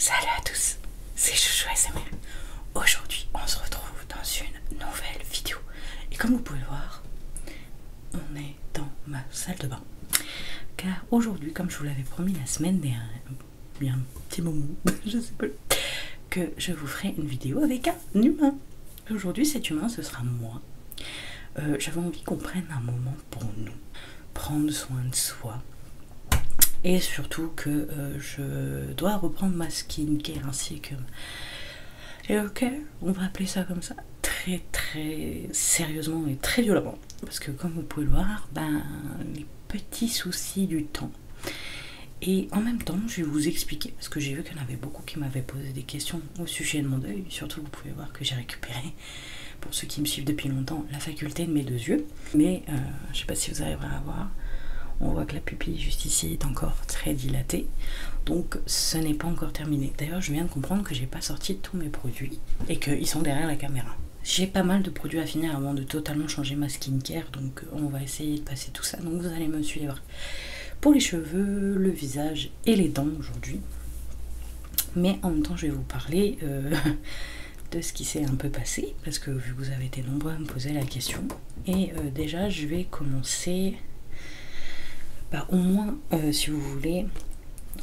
Salut à tous, c'est Chouchou SML. Aujourd'hui, on se retrouve dans une nouvelle vidéo. Et comme vous pouvez le voir, on est dans ma salle de bain. Car aujourd'hui, comme je vous l'avais promis la semaine dernière, bien un petit moment, je sais pas, que je vous ferai une vidéo avec un humain. Aujourd'hui, cet humain, ce sera moi. Euh, j'avais envie qu'on prenne un moment pour nous, prendre soin de soi. Et surtout que euh, je dois reprendre ma skincare ainsi que... Et ok, on va appeler ça comme ça, très très sérieusement et très violemment. Parce que comme vous pouvez le voir, ben, les petits soucis du temps et en même temps, je vais vous expliquer, parce que j'ai vu qu'il y en avait beaucoup qui m'avaient posé des questions au sujet de mon deuil. Surtout, vous pouvez voir que j'ai récupéré, pour ceux qui me suivent depuis longtemps, la faculté de mes deux yeux. Mais euh, je ne sais pas si vous arriverez à voir. On voit que la pupille juste ici est encore très dilatée. Donc ce n'est pas encore terminé. D'ailleurs je viens de comprendre que j'ai pas sorti tous mes produits et qu'ils sont derrière la caméra. J'ai pas mal de produits à finir avant de totalement changer ma skincare, donc euh, on va essayer de passer tout ça. Donc vous allez me suivre pour les cheveux, le visage et les dents aujourd'hui. Mais en même temps, je vais vous parler euh, de ce qui s'est un peu passé, parce que vu que vous avez été nombreux à me poser la question. Et euh, déjà, je vais commencer, bah, au moins, si vous voulez,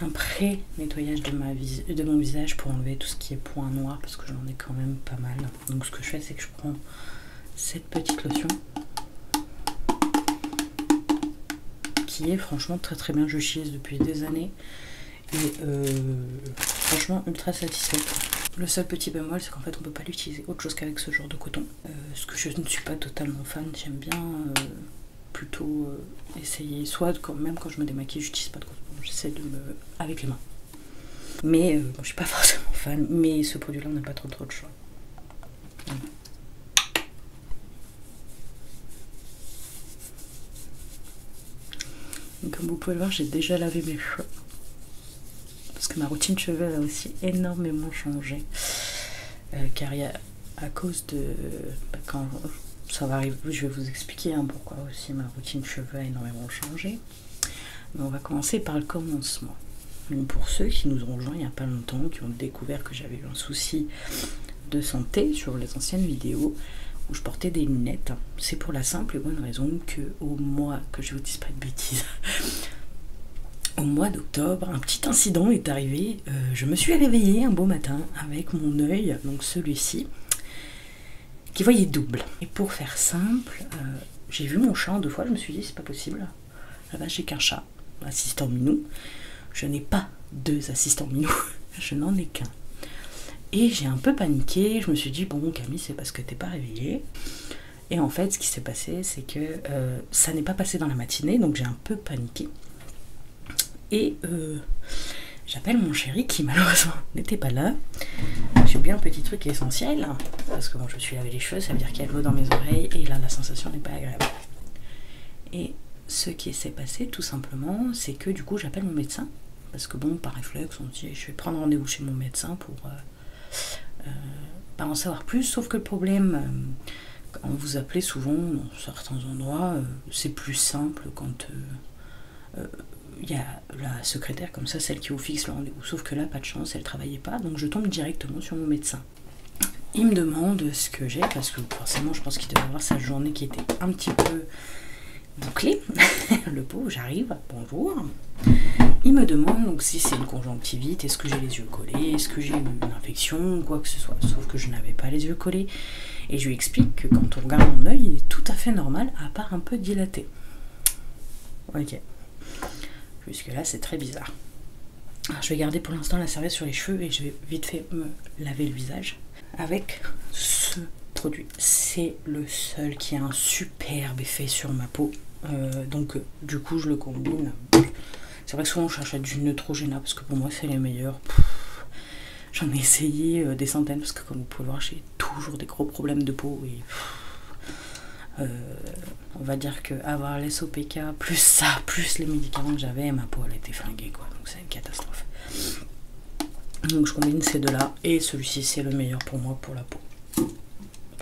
un pré-nettoyage de, ma vis de mon visage pour enlever tout ce qui est point noir, parce que j'en ai quand même pas mal. Donc ce que je fais, c'est que je prends cette petite lotion qui est franchement très très bien. Je chise depuis des années et euh, franchement ultra satisfaite. Le seul petit bémol, c'est qu'en fait, on peut pas l'utiliser autre chose qu'avec ce genre de coton. Euh, ce que je ne suis pas totalement fan, j'aime bien euh, plutôt essayer. Soit quand même quand je me démaquille, j'utilise pas de coton, j'essaie de me avec les mains. Mais euh, je ne suis pas forcément fan, mais ce produit-là, on n'a pas trop trop de choix. Comme vous pouvez le voir, j'ai déjà lavé mes cheveux. Parce que ma routine cheveux a aussi énormément changé. Euh, car il y a à cause de... Bah, quand ça va arriver, je vais vous expliquer Hein, pourquoi aussi ma routine cheveux a énormément changé. Mais on va commencer par le commencement. pour ceux qui nous ont rejoints il n'y a pas longtemps, qui ont découvert que j'avais eu un souci de santé sur les anciennes vidéos où je portais des lunettes, hein. c'est pour la simple et bonne raison que au mois, que je vous dise pas de bêtises, au mois d'octobre, un petit incident est arrivé. Euh, je me suis réveillée un beau matin avec mon œil, donc celui-ci, qui voyait double. Et pour faire simple, euh, j'ai vu mon chat deux fois, je me suis dit c'est pas possible. Là-bas ah ben, j'ai qu'un chat, assistant minou. Je n'ai pas deux assistants minou, je n'en ai qu'un. Et j'ai un peu paniqué, je me suis dit bon Camille c'est parce que t'es pas réveillée. Et en fait ce qui s'est passé c'est que euh, ça n'est pas passé dans la matinée, donc j'ai un peu paniqué. Et euh, J'appelle mon chéri qui malheureusement n'était pas là. J'ai bien un petit truc essentiel. Parce que bon, je me suis lavé les cheveux, ça veut dire qu'il y a de l'eau dans mes oreilles et là la sensation n'est pas agréable. Et ce qui s'est passé tout simplement, c'est que du coup j'appelle mon médecin. Parce que bon, par réflexe, on dit je vais prendre rendez-vous chez mon médecin pour euh, euh, pas en savoir plus. Sauf que le problème, euh, quand vous appelez souvent dans certains endroits, c'est plus simple quand il y a la secrétaire comme ça, celle qui vous fixe le rendez-vous. Sauf que là, pas de chance, elle travaillait pas, donc je tombe directement sur mon médecin. Il me demande ce que j'ai, parce que forcément, je pense qu'il devait avoir sa journée qui était un petit peu bouclée. le pauvre, j'arrive, bonjour. Il me demande donc si c'est une conjonctivite, est-ce que j'ai les yeux collés, est-ce que j'ai une infection, quoi que ce soit. Sauf que je n'avais pas les yeux collés. Et je lui explique que quand on regarde mon œil, il est tout à fait normal, à part un peu dilaté. Ok. puisque là, c'est très bizarre. je vais garder pour l'instant la serviette sur les cheveux et je vais vite fait me laver le visage avec ce produit. C'est le seul qui a un superbe effet sur ma peau. Euh, donc, euh, du coup, je le combine. C'est vrai que souvent, je cherche à du Neutrogena parce que pour moi, c'est les meilleurs. J'en ai essayé euh, des centaines parce que, comme vous pouvez le voir, j'ai toujours des gros problèmes de peau. Et euh, on va dire que avoir les SOPK, plus ça, plus les médicaments que j'avais, ma peau elle était flinguée quoi. Donc c'est une catastrophe. Donc je combine ces deux-là et celui-ci c'est le meilleur pour moi pour la peau.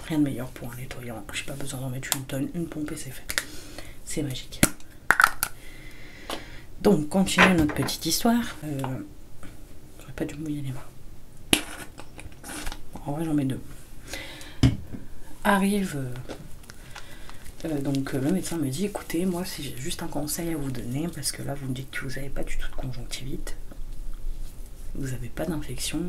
Rien de meilleur pour un nettoyant. J'ai pas besoin d'en mettre une tonne, une pompe et c'est fait. C'est magique. Donc, continue notre petite histoire. Euh, J'aurais pas dû mouiller les mains. En vrai, j'en mets deux. Arrive. Euh, euh, donc, euh, le médecin me dit écoutez, moi, si j'ai juste un conseil à vous donner, parce que là, vous me dites que vous n'avez pas du tout de conjonctivite, vous n'avez pas d'infection,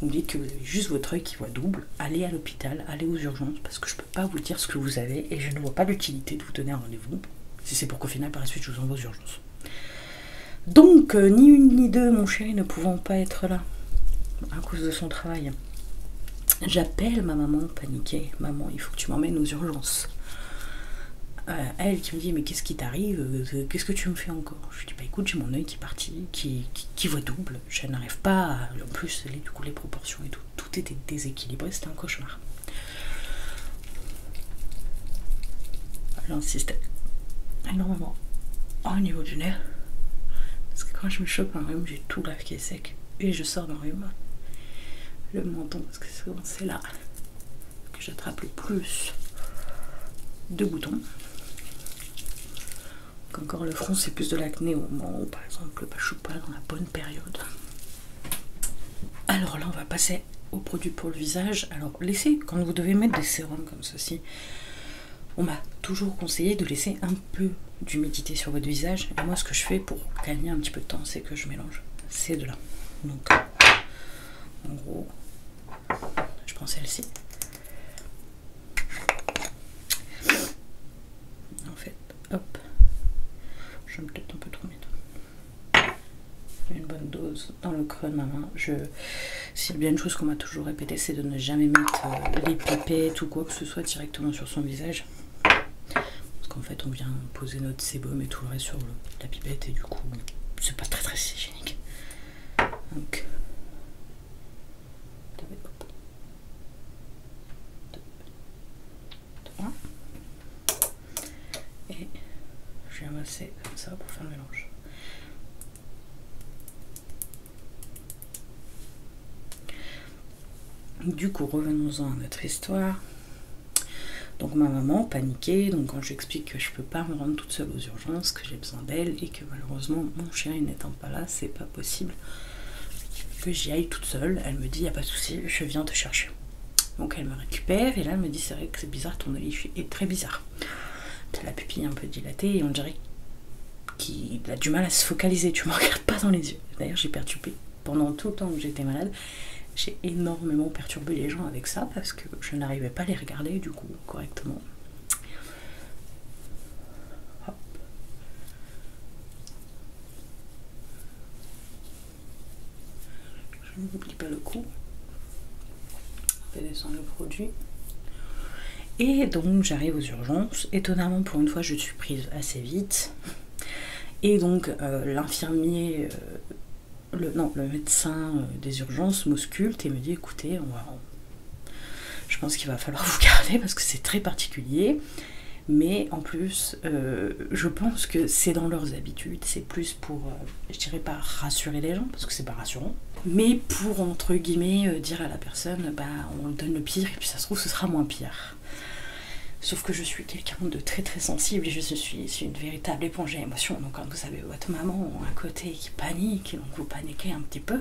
vous me dites que vous avez juste votre œil qui voit double, allez à l'hôpital, allez aux urgences, parce que je peux pas vous dire ce que vous avez et je ne vois pas l'utilité de vous tenir un rendez-vous si c'est pour qu'au final, par la suite, je vous envoie aux urgences. Donc, euh, ni une ni deux, mon chéri ne pouvant pas être là à cause de son travail, j'appelle ma maman paniquée. Maman, il faut que tu m'emmènes aux urgences. Euh, elle qui me dit mais qu'est-ce qui t'arrive euh, Qu'est-ce que tu me fais encore Je lui dis bah écoute j'ai mon œil qui est parti, qui, voit double, je n'arrive pas, en plus du coup les proportions et tout, tout était déséquilibré, c'était un cauchemar. J'insiste énormément au niveau du nez. Parce que quand je me chope un rhume, j'ai tout lave qui est sec. Et je sors d'un rhume. Le menton, parce que c'est là que j'attrape le plus de boutons. encore le front, c'est plus de l'acné au moment où, par exemple, le ne suis pas dans la bonne période. Alors là, on va passer au produit pour le visage. Alors laissez, quand vous devez mettre des sérums comme ceci, on m'a toujours conseillé de laisser un peu d'humidité sur votre visage. Et moi, ce que je fais pour gagner un petit peu de temps, c'est que je mélange ces deux-là. Donc, en gros, je prends celle-ci. En fait, hop, je vais peut-être un peu trop mettre une bonne dose dans le creux de ma main. Je, si bien une chose qu'on m'a toujours répété, c'est de ne jamais mettre euh, les pipettes ou quoi que ce soit directement sur son visage. Parce qu'en fait, on vient poser notre sébum et tout le reste sur le, la pipette et du coup, c'est pas très très hygiénique. Donc, et je vais amasser comme ça pour faire le mélange. Du coup, revenons-en à notre histoire. Donc ma maman paniquée. donc quand j'explique que je peux pas me rendre toute seule aux urgences, que j'ai besoin d'elle et que malheureusement mon chien n'étant pas là, c'est pas possible que j'y aille toute seule, elle me dit il n'y a pas de souci, je viens te chercher. Donc elle me récupère et là elle me dit c'est vrai que c'est bizarre, ton olif est très bizarre. T'as la pupille un peu dilatée et on dirait qu'il a du mal à se focaliser, tu me regardes pas dans les yeux. D'ailleurs j'ai perturbé pendant tout le temps que j'étais malade, j'ai énormément perturbé les gens avec ça parce que je n'arrivais pas à les regarder du coup correctement. Hop. Je oublie pas le coup. On le produit. Et donc j'arrive aux urgences. Étonnamment, pour une fois, je suis prise assez vite. Et donc euh, l'infirmier, euh, le, non, le médecin euh, des urgences m'ausculte et me dit écoutez, je pense qu'il va falloir vous garder parce que c'est très particulier. Mais en plus, je pense que c'est dans leurs habitudes, c'est plus pour, euh, je dirais pas rassurer les gens, parce que c'est pas rassurant, mais pour entre guillemets euh, dire à la personne, bah on lui donne le pire et puis ça se trouve ce sera moins pire. Sauf que je suis quelqu'un de très très sensible et je suis, une véritable éponge à Donc quand vous savez votre maman à côté qui panique, donc vous paniquez un petit peu.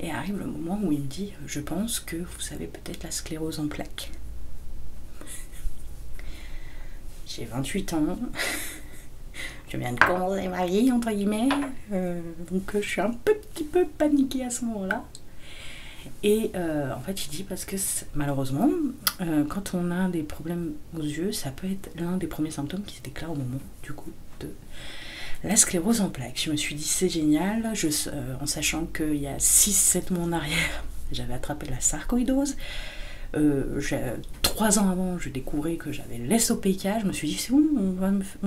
Et arrive le moment où il me dit, je pense que vous avez peut-être la sclérose en plaques. J'ai 28 ans. Je viens de commencer ma vie, entre guillemets. Euh, donc euh, je suis un petit peu paniquée à ce moment-là. Et euh, en fait, je dit parce que malheureusement, quand on a des problèmes aux yeux, ça peut être l'un des premiers symptômes qui se déclarent au moment du coup de la sclérose en plaques. Je me suis dit c'est génial, en sachant qu'il y a 6-7 mois en arrière, j'avais la sarcoïdose. Euh, trois ans avant, je découvrais que j'avais l'SOPK. Je me suis dit, c'est bon, on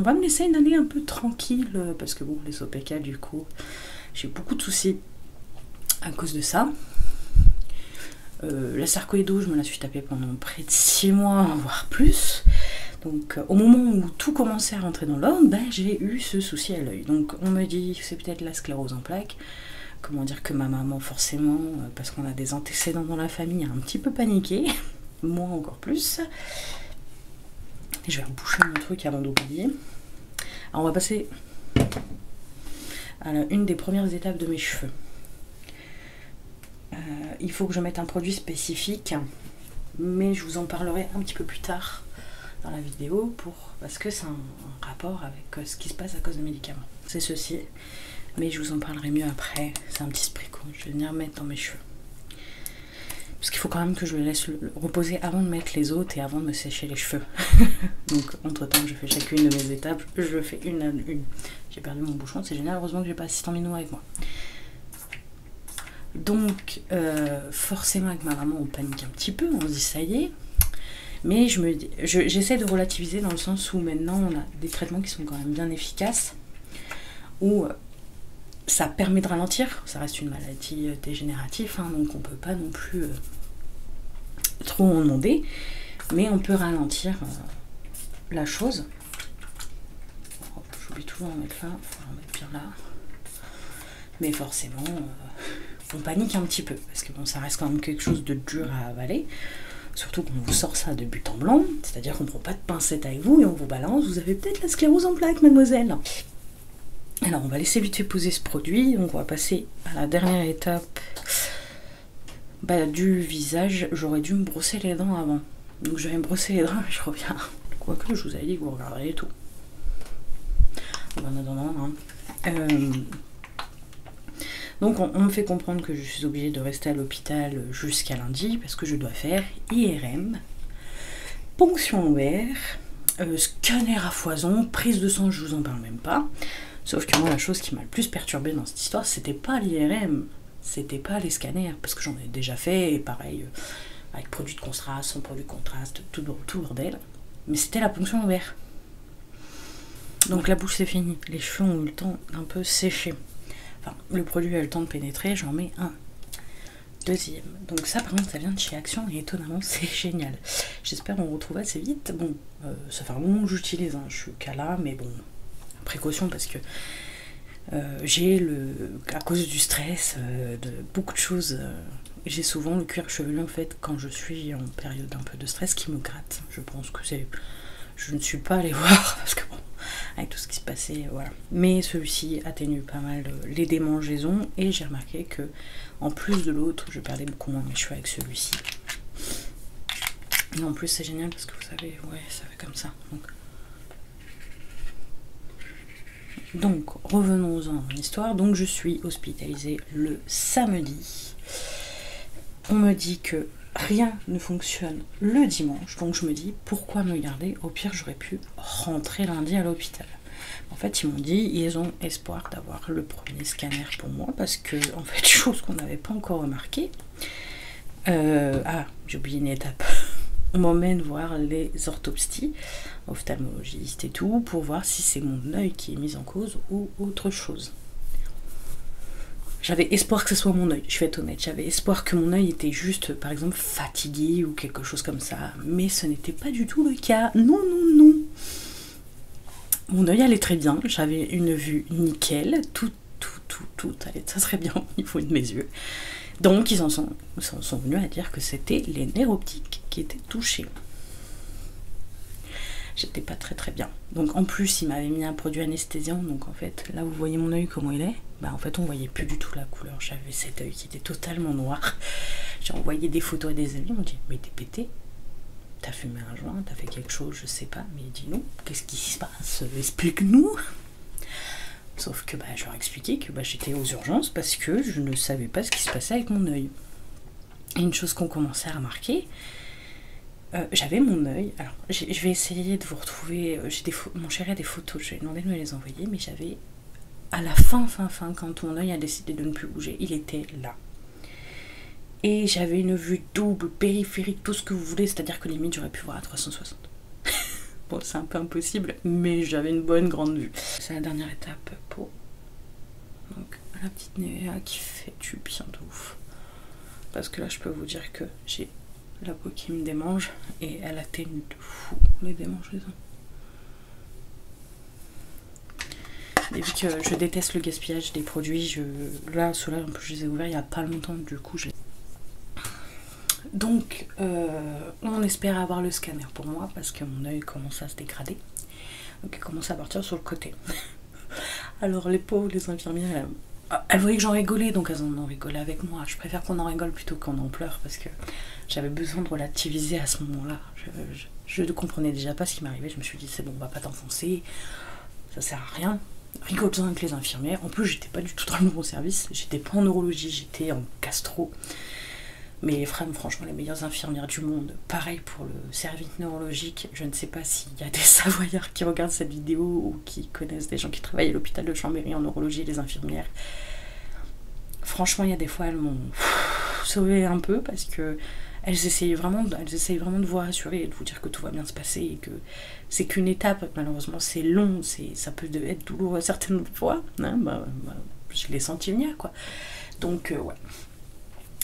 va, me, laisser une année un peu tranquille, euh, parce que bon, OPK du coup, j'ai beaucoup de soucis à cause de ça. Euh, la sarcoïdose, je me la suis tapée pendant près de six mois, voire plus. Donc, au moment où tout commençait à rentrer dans l'ordre, ben, j'ai eu ce souci à l'œil. Donc, on me dit, c'est peut-être la sclérose en plaque comment dire que ma maman forcément euh, parce qu'on a des antécédents dans la famille a un petit peu paniqué moi encore plus je vais reboucher mon truc avant d'oublier alors on va passer à une des premières étapes de mes cheveux euh, il faut que je mette un produit spécifique mais je vous en parlerai un petit peu plus tard dans la vidéo pour parce que c'est un, rapport avec euh, ce qui se passe à cause de médicaments. C'est ceci, mais je vous en parlerai mieux après. C'est un petit spray qu'on je vais venir mettre dans mes cheveux. Parce qu'il faut quand même que je le laisse reposer avant de mettre les autres et avant de me sécher les cheveux. Donc entre temps, je fais chacune de mes étapes, je fais une à une. J'ai perdu mon bouchon, c'est génial, heureusement que j'ai pas assistant minou avec moi. Donc, euh, forcément, avec ma maman, on panique un petit peu. On se dit, ça y est, mais je me, j'essaie de relativiser dans le sens où maintenant on a des traitements qui sont quand même bien efficaces, où euh, ça permet de ralentir. Ça reste une maladie euh, dégénérative, hein, donc on peut pas non plus euh, trop en demander, mais on peut ralentir la chose. Oh, j'oublie toujours mettre là, faut en mettre bien là mais forcément, on euh, panique un petit peu, parce que bon, ça reste quand même quelque chose de dur à avaler. Surtout qu'on vous sort ça de but en blanc, c'est-à-dire qu'on ne prend pas de pincette avec vous et on vous balance, vous avez peut-être la sclérose en plaque mademoiselle. Alors on va laisser vite fait poser ce produit, donc on va passer à la dernière étape bah, du visage. J'aurais dû me brosser les dents avant, donc je vais me brosser les dents et je reviens. Quoique je vous avais dit que vous regardez tout. En attendant, hein. Euh, donc on, me fait comprendre que je suis obligée de rester à l'hôpital jusqu'à lundi parce que je dois faire IRM, ponction lombaire, euh, scanner à foison, prise de sang, je vous en parle même pas. Sauf que moi la chose qui m'a le plus perturbée dans cette histoire, c'était pas l'IRM, c'était pas les scanners, parce que j'en ai déjà fait, pareil, euh, avec produit de contraste, sans produit de contraste, tout, autour d'elle. Mais c'était la ponction lombaire. Donc la bouche c'est fini, les cheveux ont eu le temps d'un peu sécher. Enfin, le produit a eu le temps de pénétrer, j'en mets un. Deuxième. Donc ça par contre ça vient de chez Action et étonnamment c'est génial. J'espère on retrouve assez vite. Bon, euh, ça fait un moment que j'utilise, un hein. je suis mais bon, précaution parce que euh, j'ai le à cause du stress, euh, de beaucoup de choses j'ai souvent le cuir chevelu en fait quand je suis en période un peu de stress qui me gratte. Je pense que c'est. Je ne suis pas allée voir parce que bon, avec tout ce qui se passait, voilà. Mais celui-ci atténue pas mal euh, les démangeaisons et j'ai remarqué que en plus de l'autre, je perdais beaucoup moins mes cheveux avec celui-ci. mais en plus c'est génial parce que vous savez, ouais, ça fait comme ça. Donc, revenons-en à histoire. Donc je suis hospitalisée le samedi. On me dit que rien ne fonctionne le dimanche, donc je me dis pourquoi me garder Au pire, j'aurais pu rentrer lundi à l'hôpital. En fait, ils m'ont dit ils ont espoir d'avoir le premier scanner pour moi parce que, en fait, chose qu'on n'avait pas encore remarqué. Euh, ah, j'ai oublié une étape. On m'emmène voir les orthopsties ophtalmologiste et tout, pour voir si c'est mon œil qui est mis en cause ou autre chose. J'avais espoir que ce soit mon œil, je vais être honnête, j'avais espoir que mon œil était juste, par exemple, fatigué ou quelque chose comme ça, mais ce n'était pas du tout le cas. Non, non, non. Mon œil allait très bien, j'avais une vue nickel, tout, tout, tout, tout allait très bien au niveau de mes yeux. Donc ils sont, ils en sont venus à dire que c'était les nerfs optiques qui étaient touchés j'étais pas très très bien. Donc en plus, il m'avait mis un produit anesthésiant, donc en fait, là vous voyez mon oeil comment il est. Bah en fait, on voyait plus du tout la couleur. J'avais cet oeil qui était totalement noir. J'ai envoyé des photos à des amis, on dit mais t'es pété, t'as fumé un joint, t'as fait quelque chose, je sais pas. Mais il dit non, qu'est-ce qui se passe Explique-nous. Sauf que bah je leur expliquais que bah, j'étais aux urgences parce que je ne savais pas ce qui se passait avec mon œil une chose qu'on commençait à remarquer, euh, j'avais mon œil. Alors, je vais essayer de vous retrouver. Euh, des mon chéri a des photos, je lui demander de me les envoyer, mais j'avais à la fin, fin, fin, quand mon œil a décidé de ne plus bouger, il était là. Et j'avais une vue double, périphérique, tout ce que vous voulez, c'est-à-dire que limite j'aurais pu voir à 360. bon, c'est un peu impossible, mais j'avais une bonne grande vue. C'est la dernière étape pour donc la petite Néa qui fait du bien de ouf. Parce que là je peux vous dire que j'ai la peau qui me démange et elle atténue de fou les démangeaisons. Et vu que je déteste le gaspillage des produits, là ceux-là en plus je les ai ouverts il n'y a pas longtemps du coup j'ai... Donc euh, on espère avoir le scanner pour moi parce que mon œil commence à se dégrader elle commençait à partir sur le côté. Alors les pauvres, les infirmières, ah, elles, voyaient que j'en rigolais, donc elles en rigolaient avec moi. Je préfère qu'on en rigole plutôt qu'en en pleure parce que j'avais besoin de relativiser à ce moment-là. Je ne comprenais déjà pas ce qui m'arrivait. Je me suis dit, c'est bon, on va pas t'enfoncer, ça sert à rien. Rigole-en avec les infirmières. En plus, j'étais pas du tout dans le nouveau service. J'étais pas en neurologie, j'étais en gastro. Mais les femmes, franchement, les meilleures infirmières du monde. Pareil pour le service neurologique. Je ne sais pas s'il y a des Savoyards qui regardent cette vidéo ou qui connaissent des gens qui travaillent à l'hôpital de Chambéry en neurologie, les infirmières. Franchement, il y a des fois, elles m'ont sauvé un peu parce que elles essayent vraiment, vraiment de vous rassurer et de vous dire que tout va bien se passer et que c'est qu'une étape. Malheureusement, c'est long, c'est ça peut être douloureux certaines fois. Hein. Bah, bah, je l'ai senti venir, quoi. Donc, euh, ouais.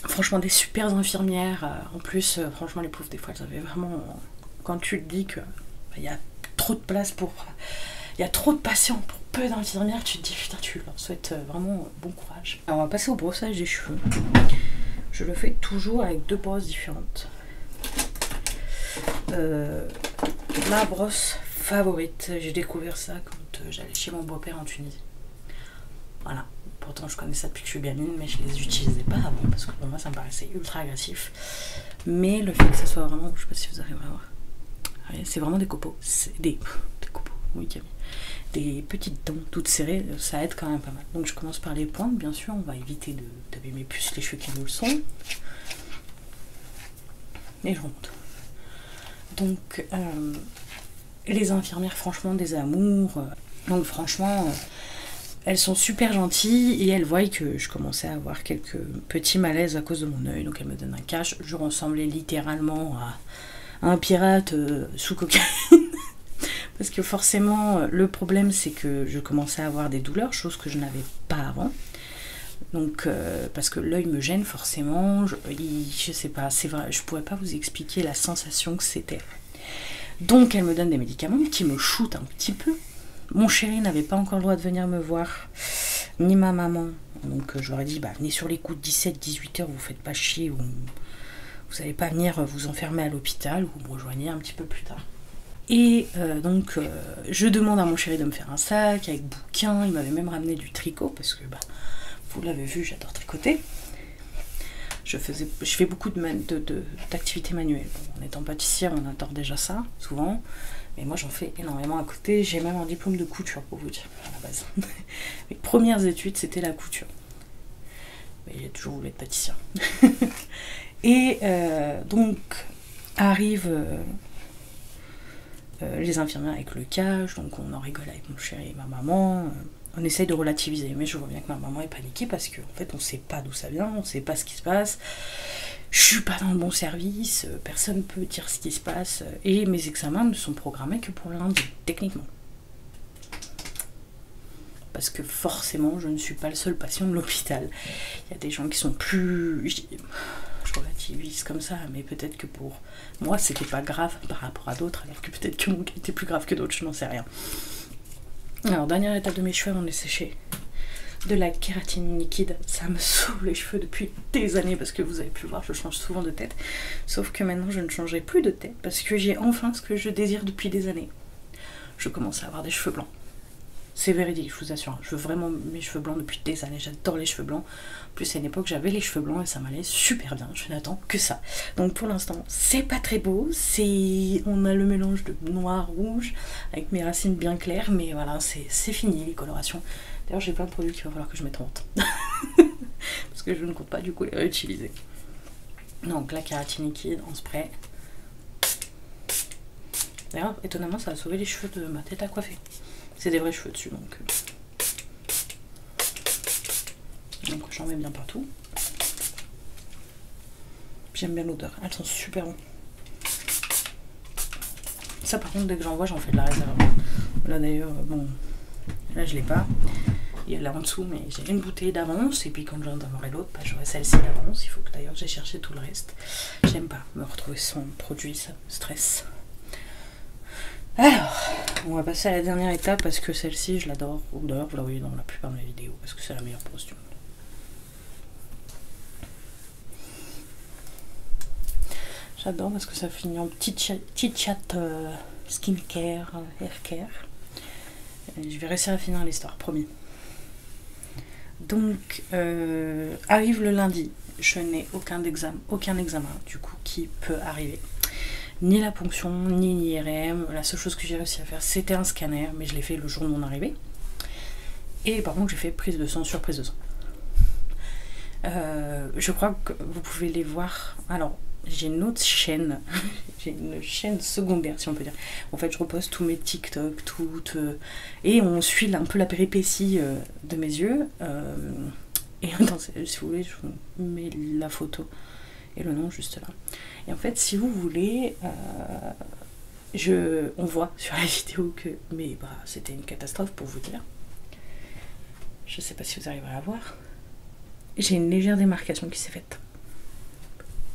Franchement, des super infirmières. Euh, en plus, euh, franchement, les pauvres, des fois, vraiment. Quand tu le dis que bah, il y a trop de place pour. Il y a trop de patients pour peu d'infirmières, tu te dis putain, tu leur souhaites euh, vraiment bon courage. Alors, on va passer au brossage des cheveux. Je le fais toujours avec deux brosses différentes. ma brosse favorite, j'ai découvert ça quand j'allais chez mon beau-père en Tunisie. Voilà, pourtant je connais ça depuis que je suis gamine, mais je les utilisais pas avant parce que pour moi ça me paraissait ultra agressif. Mais le fait que ça soit vraiment, je sais pas si vous arrivez à voir, c'est vraiment des copeaux, des, oui, des petites dents toutes serrées, ça aide quand même pas mal. Donc je commence par les pointes, bien sûr, on va éviter de d'abîmer plus les cheveux qui nous le sont. Et je remonte. Donc, euh, les infirmières, franchement, des amours. Euh. Donc, franchement, euh, elles sont super gentilles et elles voient que je commençais à avoir quelques petits malaises à cause de mon œil. Donc, elles me donnent un cash. Je ressemblais littéralement à un pirate euh, sous cocaïne. Parce que forcément, le problème, c'est que je commençais à avoir des douleurs, chose que je n'avais pas avant. Donc, parce que l'œil me gêne forcément, je, je sais pas, c'est vrai, pourrais pas vous expliquer la sensation que c'était. Donc elle me donne des médicaments qui me shootent un petit peu. Mon chéri n'avait pas encore le droit de venir me voir, ni ma maman. Donc euh, je leur ai dit, bah, venez sur les coups de 17 18 heures vous faites pas chier, ou vous n'allez pas venir vous enfermer à l'hôpital, ou vous me rejoignez un petit peu plus tard. Et euh, donc euh, je demande à mon chéri de me faire un sac avec bouquin il m'avait même ramené du tricot, parce que parce que bah, vous l'avez vu, j'adore tricoter. Je, faisais, je fais beaucoup d'activités de, manuelles. en étant pâtissière, on adore déjà ça, souvent. Mais moi, j'en fais énormément à côté. J'ai même un diplôme de couture, pour vous dire, Mes premières études, c'était la couture. Mais j'ai toujours voulu être pâtissière. Et euh, donc, arrive euh, euh, les infirmières avec le cage, donc on en rigole avec mon chéri et ma maman. Euh, on essaye de relativiser, mais je vois bien que ma maman est paniquée parce qu'en fait on sait pas d'où ça vient, on sait pas ce qui se passe, je suis pas dans le bon service, euh, personne peut dire ce qui se passe, et mes examens ne sont programmés que pour lundi, techniquement. Parce que forcément je ne suis pas le seul patient de l'hôpital. Il y a des gens qui sont plus. Je relativise comme ça, mais peut-être que pour moi c'était pas grave par rapport à d'autres, alors que peut-être que mon cas était plus grave que d'autres, je n'en sais rien. Alors, dernière étape de mes cheveux avant de les sécher. De la kératine liquide, ça me sauve les cheveux depuis des années parce que vous avez pu voir, je change souvent de tête. Sauf que maintenant, je ne changerai plus de tête parce que j'ai enfin ce que je désire depuis des années. Je commence à avoir des cheveux blancs. C'est véridique, je vous assure. Je veux vraiment mes cheveux blancs depuis des années. J'adore les cheveux blancs plus, à une époque, j'avais les cheveux blancs et ça m'allait super bien. Je n'attends que ça. Donc pour l'instant, c'est pas très beau. C'est, on a le mélange de noir rouge avec mes racines bien claires, mais voilà, c'est fini les colorations. D'ailleurs, j'ai plein de produits qu'il va falloir que je mette en vente parce que je ne compte pas du coup les réutiliser. Donc la kératine liquide en spray. D'ailleurs, étonnamment, ça a sauvé les cheveux de ma tête à coiffer. C'est des vrais cheveux dessus, donc euh. Donc j'en mets bien partout. J'aime bien l'odeur, elles sont super bonnes. Ça par contre dès que j'en vois j'en fais de la réserve. Là d'ailleurs, euh, bon, là je l'ai pas. Il y a là en dessous, mais j'ai une bouteille d'avance et puis quand j'en aurai l'autre, bah, j'aurai celle-ci d'avance. Il faut que d'ailleurs j'ai cherché tout le reste. J'aime pas me retrouver sans produit, ça me stresse. Alors, on va passer à la dernière étape parce que celle-ci, je l'adore. D'ailleurs, vous la voyez dans la plupart de mes vidéos parce que c'est la meilleure pose J'adore parce que ça finit en petit chat, chat euh, skincare, euh, hair je vais rester à finir l'histoire, promis. Donc, euh, arrive le lundi. Je n'ai aucun examen aucun examen du coup qui peut arriver. Ni la ponction, ni l'IRM. La seule chose que j'ai réussi à faire, c'était un scanner, mais je l'ai fait le jour de mon arrivée. Et par contre, j'ai fait prise de sang sur prise de sang. Euh, je crois que vous pouvez les voir. Alors, j'ai une autre chaîne, j'ai une chaîne secondaire si on peut dire. En fait, je repose tous mes TikTok, toutes... Euh, et on suit un peu la péripétie euh, de mes yeux. Euh, et si vous voulez, je vous mets la photo et le nom juste là. Et en fait, si vous voulez, euh, je, on voit sur la vidéo que mais c'était une catastrophe pour vous dire. Je sais pas si vous arriverez à voir. J'ai une légère démarcation qui s'est faite.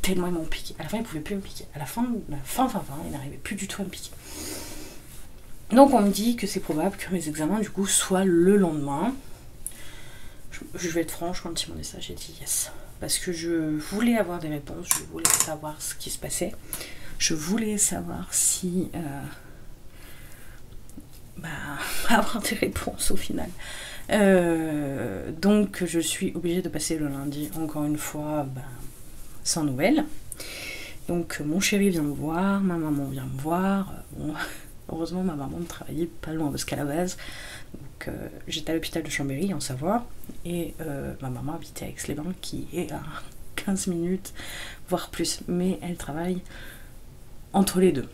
Tellement ils m'ont piqué. À la fin, ils pouvaient plus me piquer. À la fin, enfin, fin, fin, fin, ils n'arrivaient plus du tout à me piquer. Donc on me dit que c'est probable que mes examens du coup soient le lendemain. Je, vais être franche, quand ils m'ont dit ça, j'ai dit yes. Parce que je voulais avoir des réponses, je voulais savoir ce qui se passait. Je voulais savoir si... Euh, bah, avoir des réponses au final. Euh, donc je suis obligée de passer le lundi encore une fois bah, sans nouvelles. Donc mon chéri vient me voir, ma maman vient me voir, heureusement, ma maman ne travaillait pas loin parce qu'à la base, euh, j'étais à l'hôpital de Chambéry en Savoie et euh, ma maman habitait à Aix-les-Bains qui est à 15 minutes, voire plus, mais elle travaille entre les deux.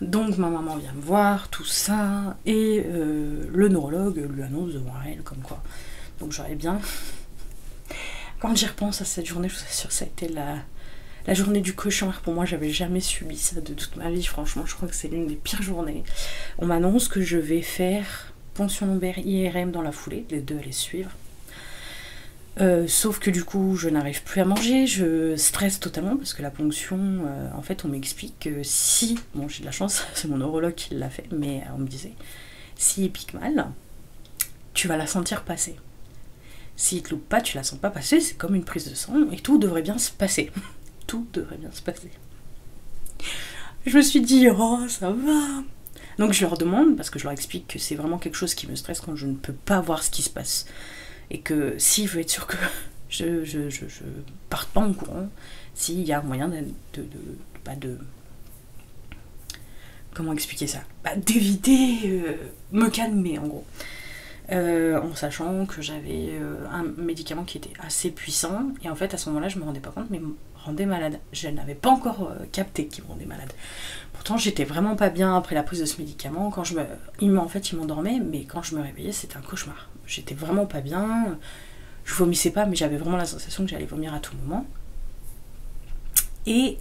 Donc ma maman vient me voir, tout ça, et euh, le neurologue lui annonce devant elle comme quoi. Donc j'aurais bien quand j'y repense à cette journée, je vous assure, ça a été la, journée du cauchemar. Pour moi, j'avais jamais subi ça de toute ma vie. Franchement, je crois que c'est l'une des pires journées. On m'annonce que je vais faire ponction lombaire IRM dans la foulée, les deux à les suivre. Euh, sauf que du coup, je n'arrive plus à manger, je stresse totalement parce que la ponction, euh, en fait, on m'explique que si, bon, j'ai de la chance, c'est mon neurologue qui l'a fait, mais euh, on me disait, si il pique mal, tu vas la sentir passer. Si te loupe pas, tu la sens pas passer, c'est comme une prise de sang et tout devrait bien se passer. tout devrait bien se passer. Je me suis dit, oh, ça va. Donc je leur demande, parce que je leur explique que c'est vraiment quelque chose qui me stresse quand je ne peux pas voir ce qui se passe. Et que si je veux être sûr que je, je, je, parte pas en courant, s'il y a moyen de, de, de Comment expliquer ça bah, D'éviter euh, me calmer en gros. Euh, en sachant que j'avais euh, un médicament qui était assez puissant et en fait à ce moment-là je me rendais pas compte mais me rendait malade. Je n'avais pas encore capté qu'il me rendait malade. Pourtant j'étais vraiment pas bien après la prise de ce médicament. Quand je en fait il m'endormaient, mais quand je me réveillais c'était un cauchemar. J'étais vraiment pas bien. Je vomissais pas mais j'avais vraiment la sensation que j'allais vomir à tout moment. Et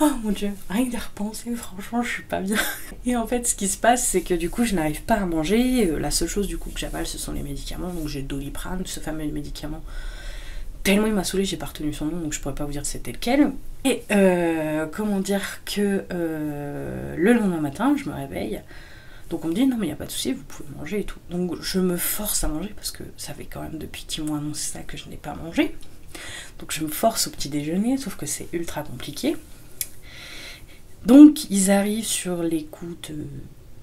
Oh mon dieu, rien que d'y repenser, franchement, je suis pas bien. Et en fait, ce qui se passe, c'est que du coup, je n'arrive pas à manger. Euh, la seule chose du coup que j'avale, ce sont les médicaments. Donc j'ai Doliprane, ce fameux médicament. Tellement il m'a saoulé, j'ai pas retenu son nom, donc je pourrais pas vous dire c'était lequel. Et euh, comment dire que euh, le lendemain matin, je me réveille. Donc on me dit non mais il n'y a pas de souci, vous pouvez manger et tout. Donc je me force à manger parce que ça fait quand même depuis qu'ils m'ont annoncé ça que je n'ai pas mangé. Donc je me force au petit déjeuner, sauf que c'est ultra compliqué. Donc ils arrivent sur les de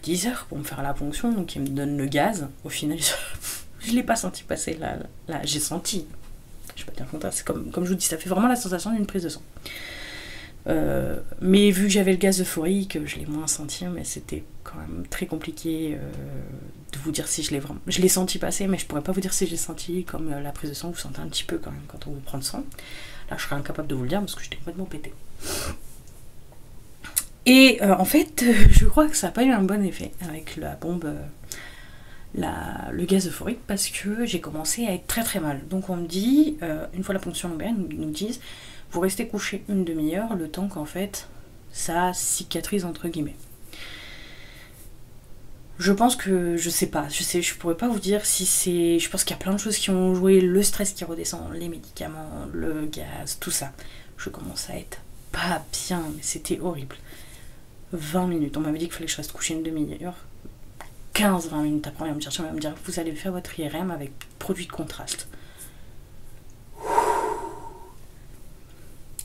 10 heures pour me faire la ponction, donc ils me donnent le gaz. Au final, je ne l'ai pas senti passer là. là. J'ai senti, je suis pas bien contente. c'est comme, comme je vous dis, ça fait vraiment la sensation d'une prise de sang. Euh, mais vu que j'avais le gaz euphorique, je l'ai moins senti, mais c'était quand même très compliqué. Euh, de vous dire si je l'ai vraiment. Je l'ai senti passer, mais je pourrais pas vous dire si j'ai senti comme euh, la prise de sang, vous sentez un petit peu quand même quand on vous prend le sang. Là, je serais incapable de vous le dire parce que j'étais complètement pété. Et euh, en fait, euh, je crois que ça n'a pas eu un bon effet avec la bombe, le gaz euphorique, parce que j'ai commencé à être très très mal. Donc on me dit, une fois la ponction lombaire, ils nous disent, vous restez couché une demi-heure, le temps qu'en fait ça cicatrise entre guillemets. Je pense que je sais pas, je sais, je pourrais pas vous dire si c'est. Je pense qu'il y a plein de choses qui ont joué, le stress qui redescend, les médicaments, le gaz, tout ça. Je commence à être pas bien, mais c'était horrible. 20 minutes, on m'avait dit qu'il fallait que je reste coucher une demi-heure. 15-20 minutes après, on va me dire, va me dire vous allez faire votre IRM avec produit de contraste.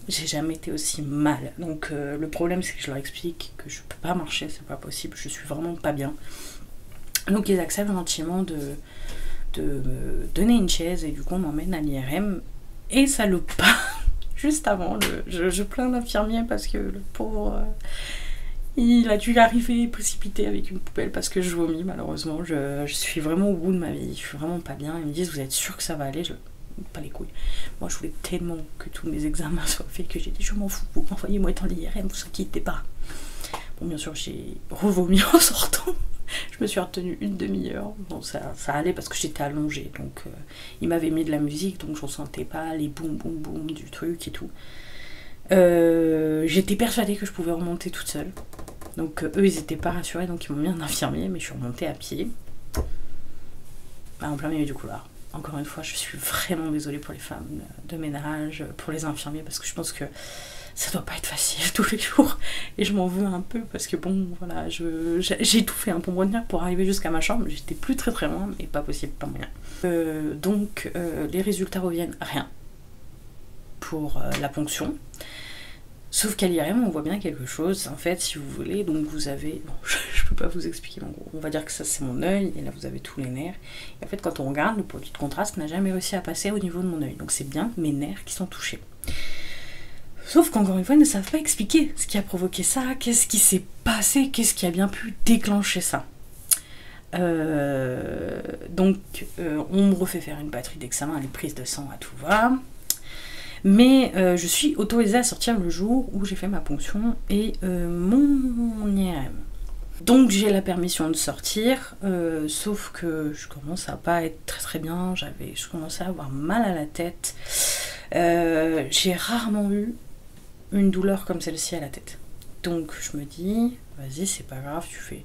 J'ai jamais été aussi mal. Donc euh, le problème c'est que je leur explique que je peux pas marcher, c'est pas possible, je suis vraiment pas bien. Donc ils acceptent gentiment de, de me donner une chaise et du coup on m'emmène à l'IRM et ça le pas. Juste avant, je, plains l'infirmier parce que le pauvre. Euh, il a dû arriver précipité avec une poubelle parce que je vomis malheureusement. Je, je, suis vraiment au bout de ma vie. Je vraiment pas bien. Ils me disent Vous êtes sûr que ça va aller je... Pas les couilles. Moi, je voulais tellement que tous mes examens soient faits que j'ai dit Je m'en fous, vous envoyez-moi étant l'IRM, vous inquiétez pas. Bon, bien sûr, j'ai revomi en sortant. je me suis retenue une demi-heure. Bon, ça, allait parce que j'étais allongée. Donc, il euh, ils m'avaient mis de la musique, donc je sentais pas les boum boum boum du truc et tout. Euh, j'étais persuadée que je pouvais remonter toute seule. Donc euh, eux, ils étaient pas rassurés, donc ils m'ont mis un infirmier, mais je suis remontée à pied. Bah, en plein milieu du couloir. Encore une fois, je suis vraiment désolée pour les femmes de ménage, pour les infirmiers, parce que je pense que ça doit pas être facile tous les jours. Et je m'en veux un peu, parce que bon, voilà, j'ai tout fait un hein, pour pour arriver jusqu'à ma chambre. J'étais plus très très loin, mais pas possible, pas moyen. Euh, donc, euh, les résultats reviennent, rien pour euh, la ponction. Sauf qu'à l'IRM, on voit bien quelque chose, en fait, si vous voulez. Donc, vous avez. je, peux pas vous expliquer, en gros, on va dire que ça, c'est mon œil, et là, vous avez tous les nerfs. en fait, quand on regarde, le produit de contraste n'a jamais réussi à passer au niveau de mon œil. Donc, c'est bien mes nerfs qui sont touchés. Sauf qu'encore une fois, ils ne savent pas expliquer ce qui a provoqué ça, qu'est-ce qui s'est passé, qu'est-ce qui a bien pu déclencher ça. Euh, donc, euh, on me refait faire une batterie d'examen, les prises de sang à tout va. Mais euh, je suis autorisée à sortir le jour où j'ai fait ma ponction et euh, mon, IRM. Donc j'ai la permission de sortir, euh, sauf que je commence à pas être très très bien, j'avais, je commençais à avoir mal à la tête. j'ai rarement eu une douleur comme celle-ci à la tête. Donc je me dis, vas-y, c'est pas grave, tu fais,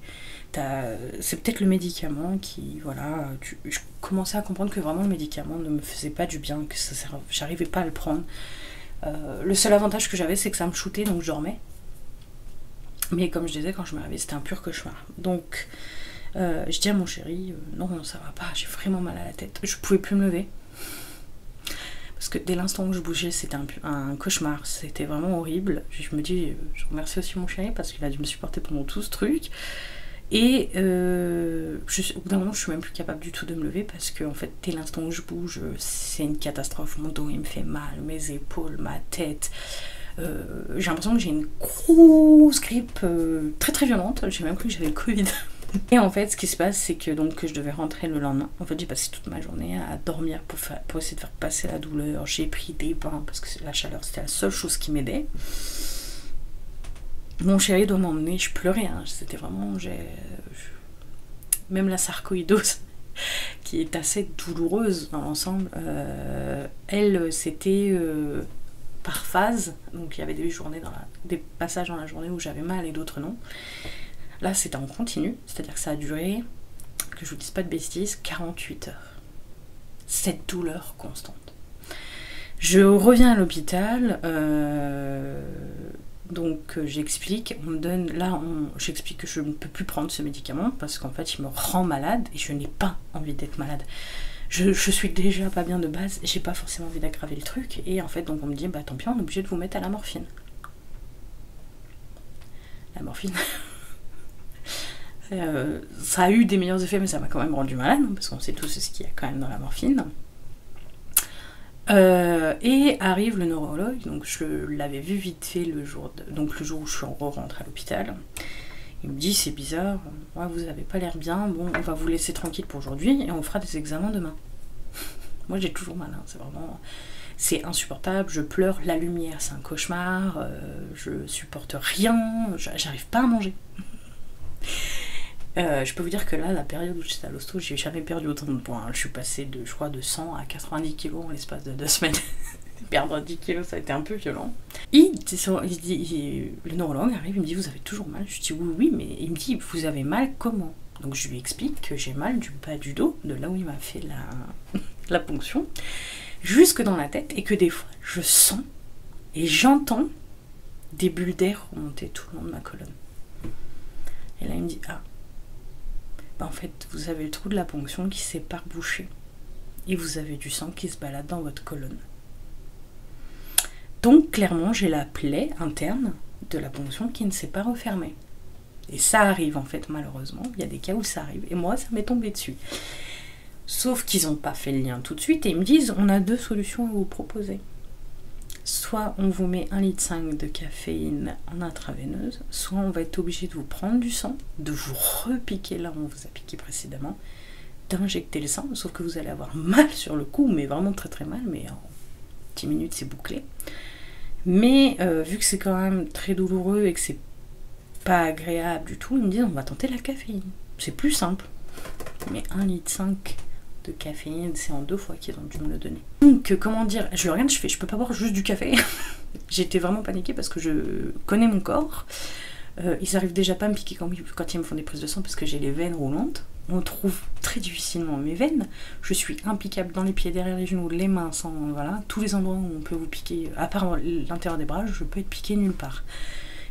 euh, c'est peut-être le médicament qui, voilà, je commençais à comprendre que vraiment le médicament ne me faisait pas du bien, que j'arrivais pas à le prendre. Euh, le seul avantage que j'avais, c'est que ça me shootait, donc je dormais. Mais comme je disais, quand je me réveillais, c'était un pur cauchemar. Donc, euh, je dis à mon chéri, non, ça va pas, j'ai vraiment mal à la tête. Je pouvais plus me lever. Parce que dès l'instant où je bougeais, c'était un, un, cauchemar. C'était vraiment horrible. Je me dis, je remercie aussi mon chéri, qu'il a dû me supporter pendant tout ce truc. Et euh, au bout d'un moment, je suis même plus capable du tout de me lever parce que, en fait, dès l'instant où je bouge, c'est une catastrophe. Mon dos, il me fait mal, mes épaules, ma tête. Euh, j'ai l'impression que j'ai une grosse grippe euh, très très violente. J'ai même cru que j'avais le Covid. Et en fait, ce qui se passe, c'est que donc je devais rentrer le lendemain. En fait, j'ai passé toute ma journée à dormir pour, pour essayer de faire passer la douleur. J'ai pris des pains, parce que la chaleur, c'était la seule chose qui m'aidait. Mon chéri doit m'emmener, je pleurais, hein. c'était vraiment. Même la sarcoïdose, qui est assez douloureuse dans l'ensemble, euh, elle, c'était euh, par phase. Donc il y avait des, journées dans des passages dans la journée où j'avais mal et d'autres non. Là, c'était en continu, c'est-à-dire que ça a duré, que je vous dise pas de bêtises, 48 heures cette douleur constante. Je reviens à l'hôpital, euh, donc euh, j'explique, on me donne, là j'explique que je ne peux plus prendre ce médicament parce qu'en fait il me rend malade et je n'ai pas envie d'être malade. Je, suis déjà pas bien de base, j'ai pas forcément envie d'aggraver le truc, et en fait donc on me dit bah tant pis on est obligé de vous mettre à la morphine la morphine. Euh, ça a eu des meilleurs effets, mais ça m'a quand même rendu malade, hein, parce qu'on sait tous ce qu'il y a quand même dans la morphine. Euh, et arrive le neurologue, donc je l'avais vu vite fait le jour, donc le jour où je suis en rentre à l'hôpital. Il me dit c'est bizarre, vous avez pas l'air bien, bon on va vous laisser tranquille pour aujourd'hui et on fera des examens demain. Moi j'ai toujours mal, hein, c'est vraiment c'est insupportable, je pleure la lumière, c'est un cauchemar, euh, je supporte rien, j'arrive pas à manger. Euh, je peux vous dire que là, la période où j'étais à l'hosto, j'ai jamais perdu autant de points. Hein. Je suis passé de, je crois, de 100 à 90 kg en l'espace de deux semaines. Perdre 10 kg, ça a été un peu violent. Il, dit, le neurologue arrive, il me dit Vous avez toujours mal Je dis Oui, oui, mais il me dit Vous avez mal comment Donc je lui explique que j'ai mal du bas du dos, de là où il m'a fait la, la ponction, jusque dans la tête et que des fois je sens et j'entends des bulles d'air remonter tout le long de ma colonne. Et là il me dit Ah, bah, en fait vous avez le trou de la ponction qui s'est bouché et vous avez du sang qui se balade dans votre colonne. Donc clairement j'ai la plaie interne de la ponction qui ne s'est pas refermée. Et ça arrive en fait malheureusement, il y a des cas où ça arrive et moi ça m'est tombé dessus. Sauf qu'ils n'ont pas fait le lien tout de suite et ils me disent on a deux solutions à vous proposer. Soit on vous met un litre de caféine en intraveineuse, soit on va être obligé de vous prendre du sang, de vous repiquer là où on vous a piqué précédemment, d'injecter le sang, sauf que vous allez avoir mal sur le cou mais vraiment très très mal, mais en 10 minutes c'est bouclé. Mais euh, vu que c'est quand même très douloureux et que c'est pas agréable du tout, ils me disent on va tenter la caféine. C'est plus simple. Mais 1,5 litre de caféine, c'est en deux fois qu'ils ont dû me le donner. Donc comment dire, je regarde, je fais, je peux pas boire juste du café. J'étais vraiment paniquée parce que je connais mon corps. Euh, ils arrivent déjà pas à me piquer quand, quand ils me font des prises de sang parce que j'ai les veines roulantes. On trouve très difficilement mes veines. Je suis impliquable dans les pieds, derrière les genoux, les mains, sans voilà, tous les endroits où on peut vous piquer, à part l'intérieur des bras, je peux être piqué nulle part.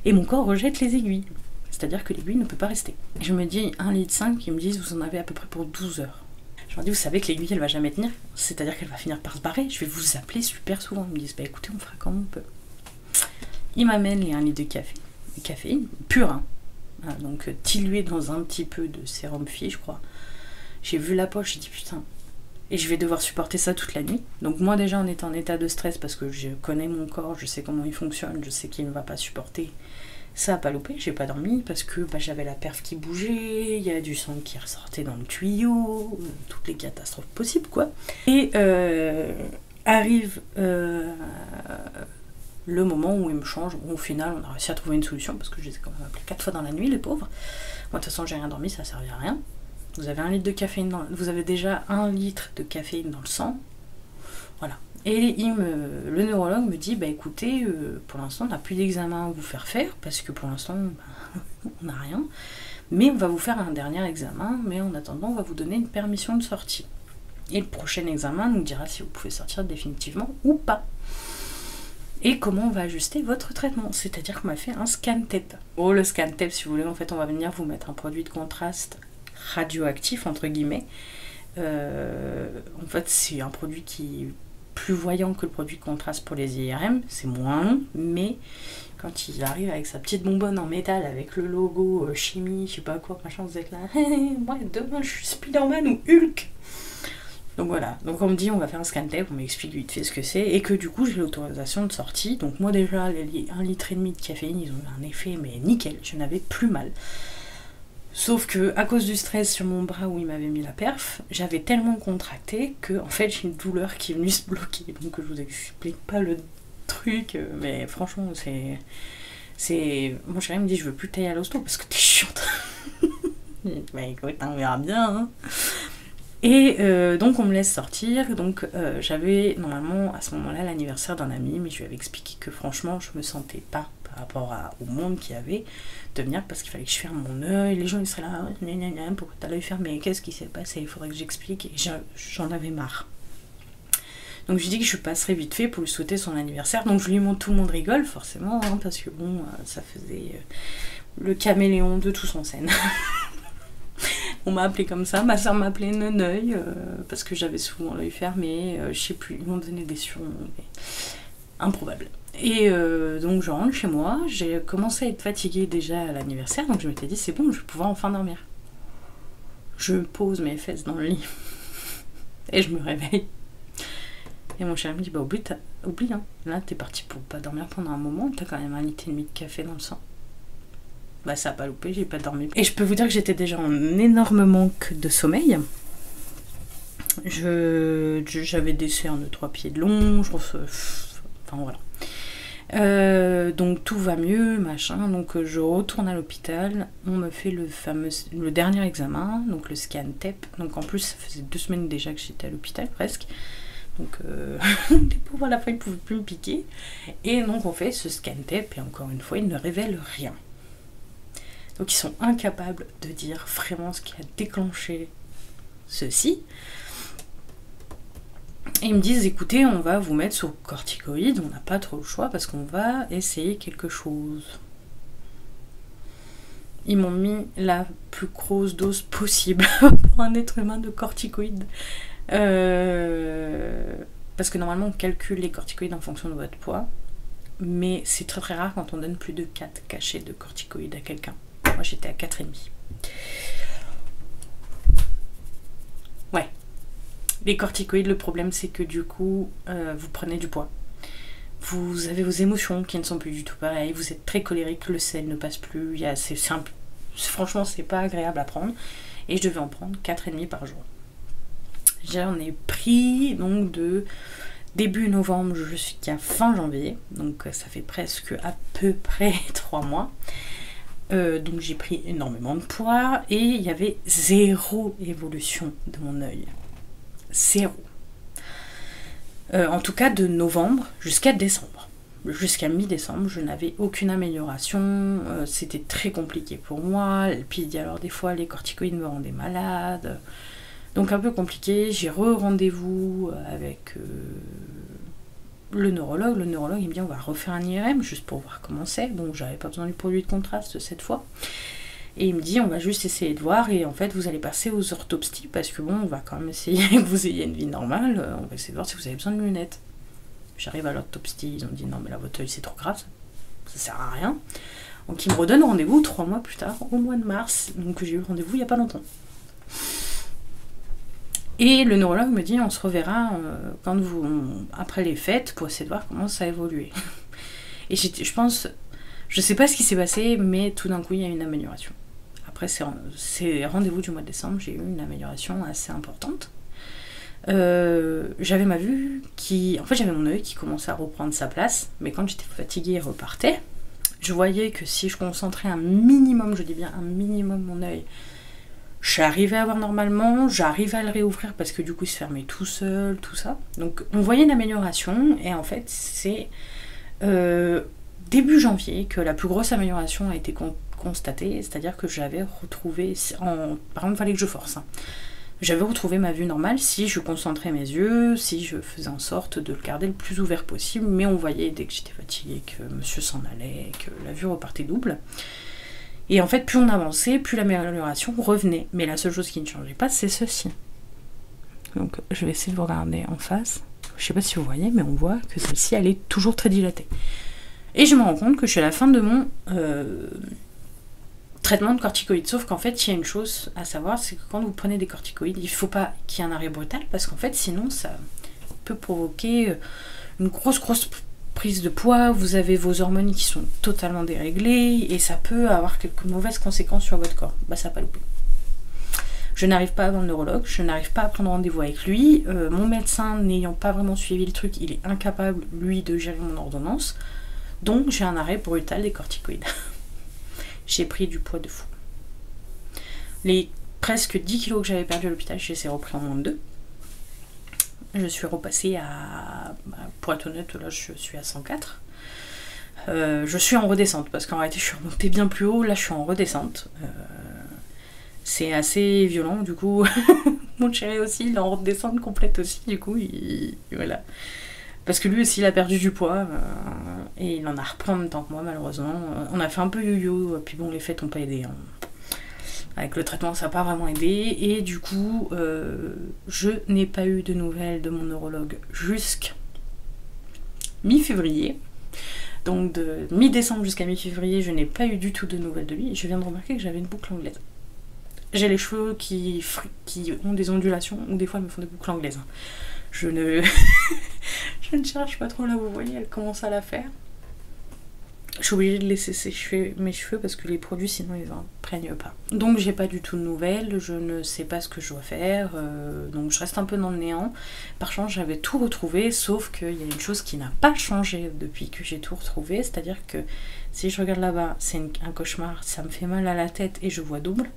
Et mon corps rejette les aiguilles, c'est-à-dire que l'aiguille ne peut pas rester. je me dis de litre, qui me disent vous en avez à peu près pour 12 heures. Je me dis vous savez que l'aiguille elle va jamais tenir, c'est-à-dire qu'elle va finir par se barrer, je vais vous appeler super souvent. Ils me disent bah écoutez on fera comme on peut. Ils m'amènent les 1 litre de café, caféine pure, hein. hein, donc euh, dilué dans un petit peu de sérum fille je crois. J'ai vu la poche, et je vais devoir supporter ça toute la nuit. Donc moi déjà on est en état de stress parce que je connais mon corps, je sais comment il fonctionne, je sais qu'il ne va pas supporter. Ça a pas loupé, j'ai pas dormi parce que bah, j'avais la perf qui bougeait, il y a du sang qui ressortait dans le tuyau, euh, toutes les catastrophes possibles quoi. Et euh, arrive euh, le moment où il me change, où au final, on a réussi à trouver une solution parce que j'ai quand même appelé 4 fois dans la nuit, les pauvres. Moi, de toute façon, j'ai rien dormi, ça servait à rien vous avez de caféine vous avez déjà un litre de caféine dans le sang. Voilà. Et il me, le neurologue me dit bah écoutez, euh, pour l'instant on n'a plus d'examen à vous faire faire parce que pour l'instant on n'a rien. Mais on va vous faire un dernier examen, mais en attendant on va vous donner une permission de sortie. Et le prochain examen nous dira si vous pouvez sortir définitivement ou pas. Et comment on va ajuster votre traitement. C'est-à-dire qu'on m'a fait un scan tête. Oh le scan tape si vous voulez. En fait, on va venir vous mettre un produit de contraste radioactif, entre guillemets. Euh, en fait, c'est un produit qui est plus voyant que le produit de contraste pour les IRM. C'est moins mais quand il arrive avec sa petite bonbonne en métal, avec le logo euh, chimie, je sais pas quoi, machin, vous êtes là, eh, eh, moi demain je suis Spider-Man ou Hulk donc voilà, donc on me dit on va faire un scan tape, on m'explique vite fait ce que c'est, et que du du coup, j'ai l'autorisation de sortie. Donc, moi, déjà, les 1 litre et demi de caféine, ils ont eu un effet, mais nickel, je n'avais plus mal. Sauf que, à cause du stress sur mon bras où il m'avait mis la perf, j'avais tellement contracté que, en fait, j'ai une douleur qui est venue se bloquer. Donc, je vous explique pas le truc, euh, mais franchement, c'est. C'est. Mon chéri me dit, je veux plus tailler à l'hosto parce que t'es chiante. mais écoute, hein, on verra bien. Hein. Et euh, donc on me laisse sortir, donc euh, j'avais normalement à ce moment-là l'anniversaire d'un ami, mais je lui avais expliqué que franchement je me sentais pas par rapport au monde qu'il y avait de venir parce qu'il fallait que je ferme mon œil, les gens ils seraient là, pourquoi t'as l'œil fermé, qu'est-ce qui s'est passé, il faudrait que j'explique, j'en avais marre. Donc je dit que je passerai vite fait pour lui souhaiter son anniversaire, donc je lui montre tout le monde rigole forcément, hein, parce que bon, euh, ça faisait le caméléon de tous en scène. on m'a appelé comme ça, ma soeur m'appelait Neneuil, euh, parce que j'avais souvent l'œil fermé, fermés. Euh, je sais plus, ils m'ont donné des surnoms improbables. Et euh, donc je rentre chez moi, j'ai commencé à être fatiguée déjà à l'anniversaire, donc je m'étais dit c'est bon, je vais pouvoir enfin dormir. Je pose mes fesses dans le lit et je me réveille. Et mon cher me dit bah oublie, oublie hein. là t'es parti pour pas dormir pendant un moment, t'as quand même un lit et demi fait dans le sang. Bah ça a pas loupé, j'ai pas dormi. Et je peux vous dire que j'étais déjà en énorme manque de sommeil. J'avais je, j'avais des cernes de 3 pieds de long, je euh, enfin voilà. Euh, donc tout va mieux, machin. Donc je retourne à l'hôpital. On me fait le fameux, le dernier examen, donc le scan TEP. Donc en plus, ça faisait deux semaines déjà que j'étais à l'hôpital presque. Donc des euh, pauvres à la fois ils ne pouvaient plus me piquer. Et donc on fait ce scan tape et encore une fois ils ne révèlent rien. Donc ils sont incapables de dire vraiment ce qui a déclenché ceci. Et ils me disent écoutez on va vous mettre sur corticoïde, on n'a pas trop le choix parce qu'on va essayer quelque chose. Ils m'ont mis la plus grosse dose possible pour un être humain de corticoïdes. Euh, parce que normalement on calcule les corticoïdes en fonction de votre poids, mais c'est très très rare quand on donne plus de 4 cachets de corticoïdes à quelqu'un. Moi j'étais à 4,5. Ouais. Les corticoïdes, le problème c'est que du coup, euh, vous prenez du poids. Vous avez vos émotions qui ne sont plus du tout pareilles, vous très colérique, le sel ne passe plus, il c'est simple. Franchement, c'est pas agréable à prendre. Et je devais en prendre et demi par jour. J'en ai pris donc de début novembre jusqu'à fin janvier. Donc euh, ça fait presque à peu près trois mois. Euh, donc j'ai pris énormément de poids et il y avait zéro évolution de mon œil. Zéro. Euh, en tout cas de novembre jusqu'à décembre. Jusqu'à mi-décembre, je n'avais aucune amélioration, euh, c'était très compliqué pour moi, et puis alors des fois les corticoïdes me rendaient malade, donc un peu compliqué, j'ai re-rendez-vous euh, avec euh, le neurologue, le neurologue il me dit on va refaire un IRM juste pour voir comment c'est, bon j'avais pas besoin du produit de contraste cette fois, et il me dit on va juste essayer de voir et en fait vous allez passer aux orthopstistes parce que bon, on va quand même essayer que vous ayez une vie normale, euh, on va essayer de voir si vous avez besoin de lunettes. J'arrive à l'autopsie, ils ont dit non mais là votre œil c'est trop grave, ça sert à rien. Donc ils me redonnent rendez-vous trois mois plus tard, au mois de mars, donc j'ai eu rendez-vous il n'y a pas longtemps. Et le neurologue me dit on se reverra euh, quand vous, après les fêtes pour essayer de voir comment ça a évolué. Et je pense, je ne sais pas ce qui s'est passé, mais tout d'un coup il y a une amélioration. Après ces, rendez-vous du mois de décembre, j'ai eu une amélioration assez importante. Euh, j'avais ma vue qui. En fait, j'avais mon œil qui commençait à reprendre sa place, mais quand j'étais fatiguée et repartait, je voyais que si je concentrais un minimum, je dis bien un minimum mon œil, j'arrivais à voir normalement, j'arrivais à le réouvrir parce que du coup il se fermait tout seul, tout ça. Donc on voyait une amélioration et en fait c'est euh, début janvier que la plus grosse amélioration a été constatée, c'est-à-dire que j'avais retrouvé, par exemple, fallait que je force. Hein. J'avais retrouvé ma vue normale si je concentrais mes yeux, si je faisais en sorte de le garder le plus ouvert possible, mais on voyait dès que j'étais fatiguée que monsieur s'en allait, que la vue repartait double. Et en fait, plus on avançait, plus l'amélioration revenait. Mais la seule chose qui ne changeait pas, c'est ceci. Donc, je vais essayer de vous regarder en face. Je ne sais pas si vous voyez, mais on voit que celle-ci, elle est toujours très dilatée. Et je me rends compte que je suis à la fin de mon euh, traitement de corticoïdes. Sauf qu'en fait, il y a une chose à savoir, c'est que quand vous prenez des corticoïdes, il ne faut pas qu'il y ait un arrêt brutal, parce qu'en fait, sinon, ça peut provoquer euh, une grosse, grosse prise de poids, vous avez vos hormones qui sont totalement déréglées, et ça peut avoir quelques mauvaises conséquences sur votre corps. Bah, ça n'a pas loupé. Je n'arrive pas à voir le neurologue, je n'arrive pas à prendre rendez-vous lui. Euh, mon médecin n'ayant pas vraiment suivi le truc, il est incapable, lui, de gérer mon ordonnance. Donc j'ai un arrêt brutal des corticoïdes. j'ai pris du poids de fou. Les presque 10 kg que j'avais perdu à l'hôpital, je les repris en moins de 2. Je suis repassée à, point bah, pour être honnête, là je suis à 104. Euh, je suis en redescente parce qu'en réalité je suis remontée bien plus haut, là je suis en redescente. Euh, c'est assez violent, du coup. Mon chéri aussi, il est en redescend complète aussi, du coup, voilà. Parce que lui aussi, il a perdu du poids, euh, et il en a repris en même temps que moi, malheureusement. Euh, on a fait un peu yo-yo, puis bon, les fêtes n'ont pas aidé. Hein. Avec le traitement, ça n'a pas vraiment aidé, et du coup, euh, je n'ai pas eu de nouvelles de mon neurologue jusqu'à mi-février. Donc de mi-décembre jusqu'à mi-février, je n'ai pas eu du tout de nouvelles de lui. je viens de remarquer que j'avais une boucle anglaise. J'ai les cheveux qui, qui ont des ondulations ou des fois me font des boucles anglaises. Je ne, je ne cherche pas trop là, vous voyez, elle commence à la faire. Je suis obligée de laisser sécher mes cheveux parce que les produits sinon ils prennent pas. Donc j'ai pas du tout de nouvelles, je ne sais pas ce que je dois faire, euh, donc je reste un peu dans le néant. Par chance, j'avais tout retrouvé, sauf qu'il y a une chose qui n'a pas changé depuis que j'ai tout retrouvé, c'est-à-dire que si je regarde là-bas, c'est un cauchemar, ça me fait mal à la tête et je vois double.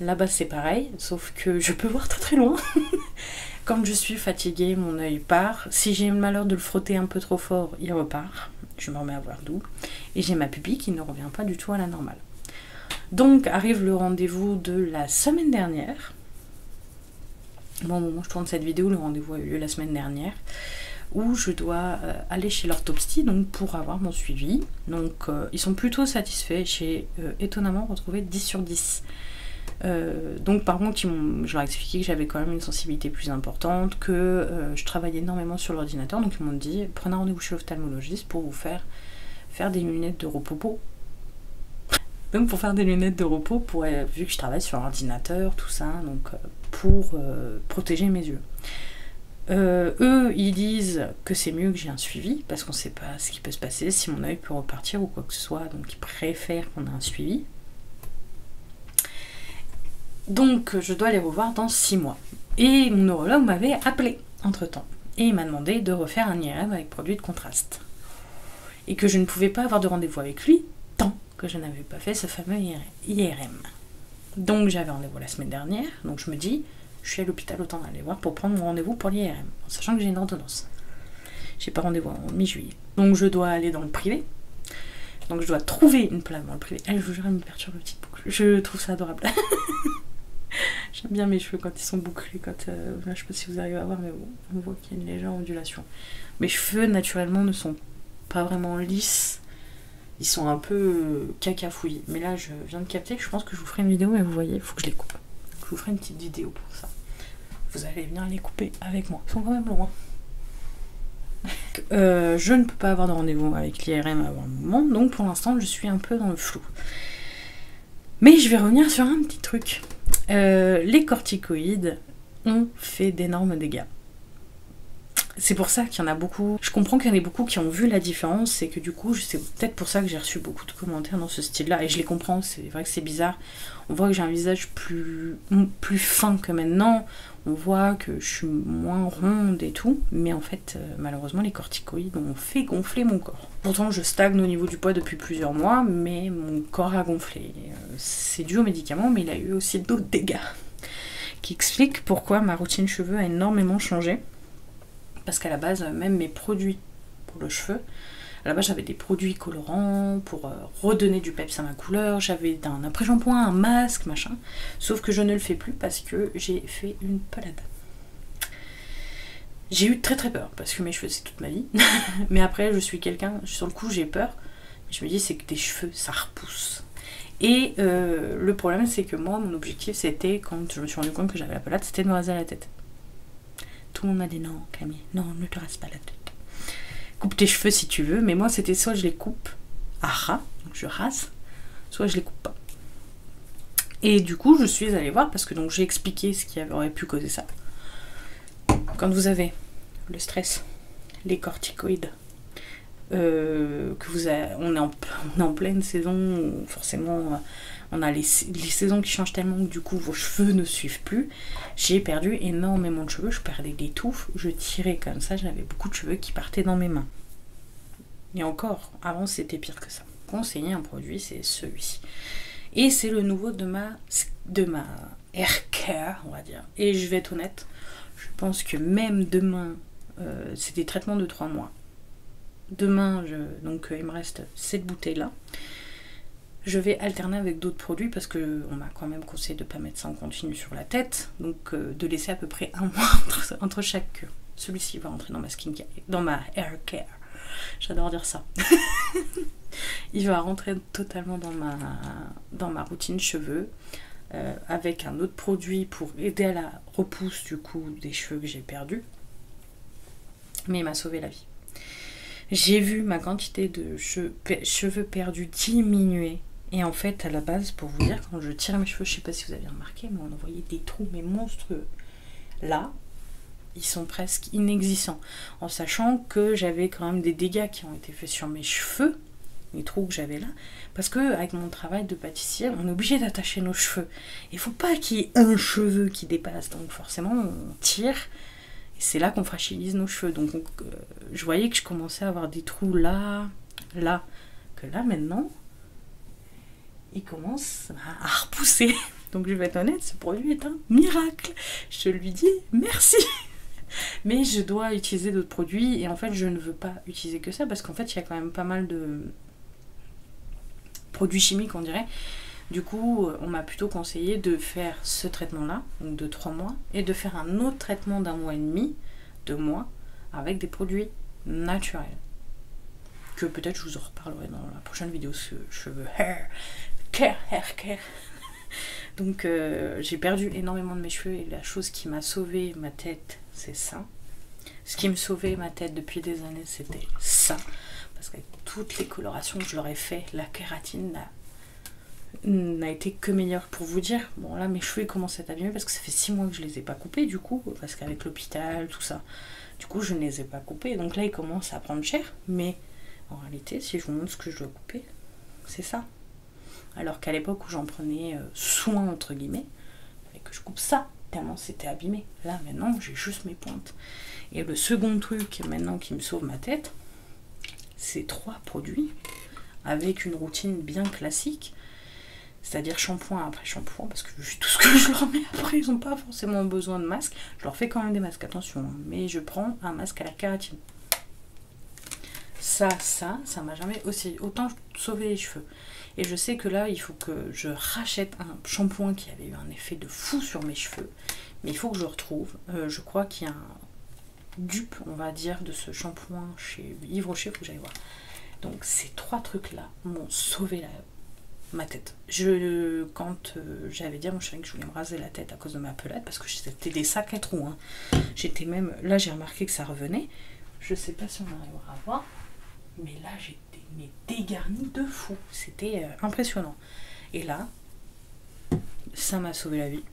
Là-bas, c'est pareil, sauf que je peux voir très très loin. Quand je suis fatiguée, mon œil part. Si j'ai le malheur de le frotter un peu trop fort, il repart. Je me remets à voir double. Et j'ai ma pupille qui ne revient pas du tout à la normale. Donc arrive le rendez-vous de la semaine dernière. Bon, au moment où je tourne cette vidéo, le rendez-vous a eu lieu la semaine dernière, où je dois euh, aller chez l'orthopsie donc pour avoir mon suivi. Donc euh, ils sont plutôt satisfaits, j'ai euh, étonnamment retrouvé 10 sur 10. donc par contre, je leur ai expliqué que j'avais quand même une sensibilité plus importante, que je travaillais énormément sur l'ordinateur, donc ils m'ont dit prenez rendez-vous chez l'ophtalmologiste pour vous faire faire des lunettes de repos donc pour faire des lunettes de repos, euh, vu que je travaille sur ordinateur, tout ça, donc euh, pour euh, protéger mes yeux. eux, ils disent que c'est mieux que j'ai un suivi parce qu'on ne sait pas ce qui peut se passer, si mon œil peut repartir ou quoi que ce soit, donc ils préfèrent qu'on ait un suivi. Donc je dois les revoir dans 6 mois. Et mon neurologue m'avait appelé entre temps et il m'a demandé de refaire un IRM avec produit de contraste et que je ne pouvais pas avoir de rendez-vous avec lui tant que je n'avais pas fait ce fameux IRM. Donc j'avais rendez-vous la semaine dernière, donc je me dis, je suis à l'hôpital, autant aller voir pour prendre mon rendez-vous pour l'IRM, en sachant que j'ai une ordonnance. J'ai pas rendez-vous en mi-juillet. Donc je dois aller dans le privé. Donc je dois trouver une place dans le privé. Elle, je vous jure, elle me perturbe le petit boucle. Je trouve ça adorable. J'aime bien mes cheveux quand ils sont bouclés, quand... Euh, je sais pas si vous arrivez à voir, mais bon, on voit qu'il y a une légère ondulation. Mes cheveux, naturellement, ne sont pas vraiment lisses. Ils sont un peu euh, cacafouillis. Mais là, je viens de capter que je pense que je vous ferai une vidéo, mais vous voyez, il faut que je les coupe. Je vous ferai une petite vidéo pour ça. Vous allez venir les couper avec moi. Ils sont quand même loin. Hein. Euh, je ne peux pas avoir de rendez-vous avec l'IRM avant le moment, donc pour l'instant je suis un peu dans le flou. Mais je vais revenir sur un petit truc. Euh, les corticoïdes ont fait d'énormes dégâts. C'est pour ça qu'il y en a beaucoup. Je comprends qu'il y en ait beaucoup qui ont vu la différence et que du coup, c'est peut-être pour ça que j'ai reçu beaucoup de commentaires dans ce style-là. Et je les comprends, c'est vrai que c'est bizarre. On voit que j'ai un visage plus, plus fin que maintenant. On voit que je suis moins ronde et tout. Mais en fait, euh, malheureusement, les corticoïdes ont fait gonfler mon corps. Pourtant, je stagne au niveau du poids depuis plusieurs mois, mais mon corps a gonflé. Euh, c'est dû aux médicaments, mais il a eu aussi d'autres dégâts. Qui expliquent pourquoi ma routine cheveux a énormément changé. Parce qu'à la base, même mes produits pour le cheveu, à la base j'avais des produits colorants pour euh, redonner du peps à ma couleur, j'avais un après-shampoing, un masque, machin. Sauf que je ne le fais plus parce que j'ai fait une palade. J'ai eu très très peur, parce que mes cheveux c'est toute ma vie. mais après, je suis quelqu'un, sur le coup j'ai peur. je me dis, c'est que tes cheveux, ça repousse. Et euh, le problème, c'est que moi, mon objectif, c'était, quand je me suis rendu compte que j'avais la palade, c'était de me raser la tête. Tout le monde m'a dit, non, Camille, non, ne te rase pas la tête. Coupe tes cheveux si tu veux, mais moi, c'était soit je les coupe à ras, donc je rase, soit je les coupe pas. Et du coup, je suis allée voir, parce que donc j'ai expliqué qui aurait pu causer ça. Quand vous avez le stress, les corticoïdes, euh, que vous on, est en, pleine saison, forcément euh, on a les, les, saisons qui changent tellement que du coup vos cheveux ne suivent plus. J'ai perdu énormément de cheveux, je perdais des touffes, je tirais comme ça, j'avais beaucoup de cheveux qui partaient dans mes mains. Et encore, avant c'était pire que ça conseiller un produit, c'est celui-ci. Et c'est le nouveau de ma, de ma care on va dire. Et je vais être honnête, je pense que même demain, euh, c'est des traitements de trois mois. Demain, donc euh, il me reste cette bouteille-là. Je vais alterner avec d'autres produits parce que on m'a quand même conseillé de pas mettre ça en continu sur la tête. Donc euh, de laisser à peu près un mois entre, chaque queue. Celui-ci va rentrer dans ma skin care dans ma care J'adore dire ça. il va rentrer totalement dans ma, dans ma routine cheveux euh, avec un autre produit pour aider à la repousse du coup des cheveux que j'ai perdus. Mais il m'a sauvé la vie. J'ai vu ma quantité de cheveux perdus diminuer. Et en fait, à la base, pour vous dire, quand je tire mes cheveux, je ne sais pas si vous avez remarqué, mais on voyait des trous, mais monstrueux. Là, ils sont presque inexistants. En sachant que j'avais quand même des dégâts qui ont été faits sur mes cheveux, les trous que j'avais là, parce que avec mon travail de pâtissier, on est obligé d'attacher nos cheveux. Il faut pas qu'il y ait un cheveu qui dépasse, donc forcément on tire. Et c'est là qu'on fragilise nos cheveux. Donc euh, je voyais que je commençais à avoir des trous là, là, que là maintenant, ils commencent à repousser. Donc je vais être honnête, ce produit est un miracle. Je lui dis merci. Mais je dois utiliser d'autres produits et en fait je ne veux pas utiliser que ça parce qu'en fait il y a quand même pas mal de produits chimiques on dirait. Du coup euh, on m'a plutôt conseillé de faire ce traitement là, donc de 3 mois, et de faire un autre traitement d'un mois et demi, deux mois, avec des produits naturels que peut-être je vous en reparlerai dans la prochaine vidéo ce cheveux hair ker hair donc euh, j'ai perdu énormément de mes cheveux et la chose qui m'a sauvé ma tête c'est ça ce qui me sauvait ma tête depuis des années c'était ça parce qu'avec toutes les colorations que je leur ai fait la kératine n'a été que meilleure pour vous dire bon là mes cheveux commencent à être parce que ça fait 6 mois que je les ai pas coupés du coup parce qu'avec l'hôpital tout ça du coup, je ne les ai pas coupés. Donc là, ils commencent à prendre cher. Mais en réalité, si je vous montre ce que je dois couper, c'est ça. Alors qu'à l'époque où j'en prenais euh, soin, entre guillemets, et que je coupe ça, tellement c'était abîmé. Là, maintenant, j'ai juste mes pointes. Et le second truc, maintenant, qui me sauve ma tête, c'est trois produits avec une routine bien classique. C'est-à-dire shampoing après shampoing, parce que tout ce que je leur mets après, ils n'ont pas forcément besoin de masque. Je leur fais quand même des masques, attention. Hein. Mais je prends un masque à la kératine. Ça, ça, ça m'a jamais aussi autant sauvé les cheveux. Et je sais que là, il faut que je rachète un shampoing qui avait eu un effet de fou sur mes cheveux. Mais il faut que je retrouve. Euh, je crois qu'il y a un dupe, on va dire, de ce shampoing chez Yves Rocher. Faut que j'aille voir. Donc ces trois trucs-là m'ont sauvé la euh, ma tête. Je, quand euh, j'avais dit à mon chéri que je voulais me raser la tête à cause de ma pelade, parce que c'était des sacs à trous, hein. j'étais même. Là, j'ai remarqué que ça revenait. Je sais pas si on arrivera à voir, mais là, j'étais dégarnie de fou. C'était euh, impressionnant. Et là, ça m'a sauvé la vie.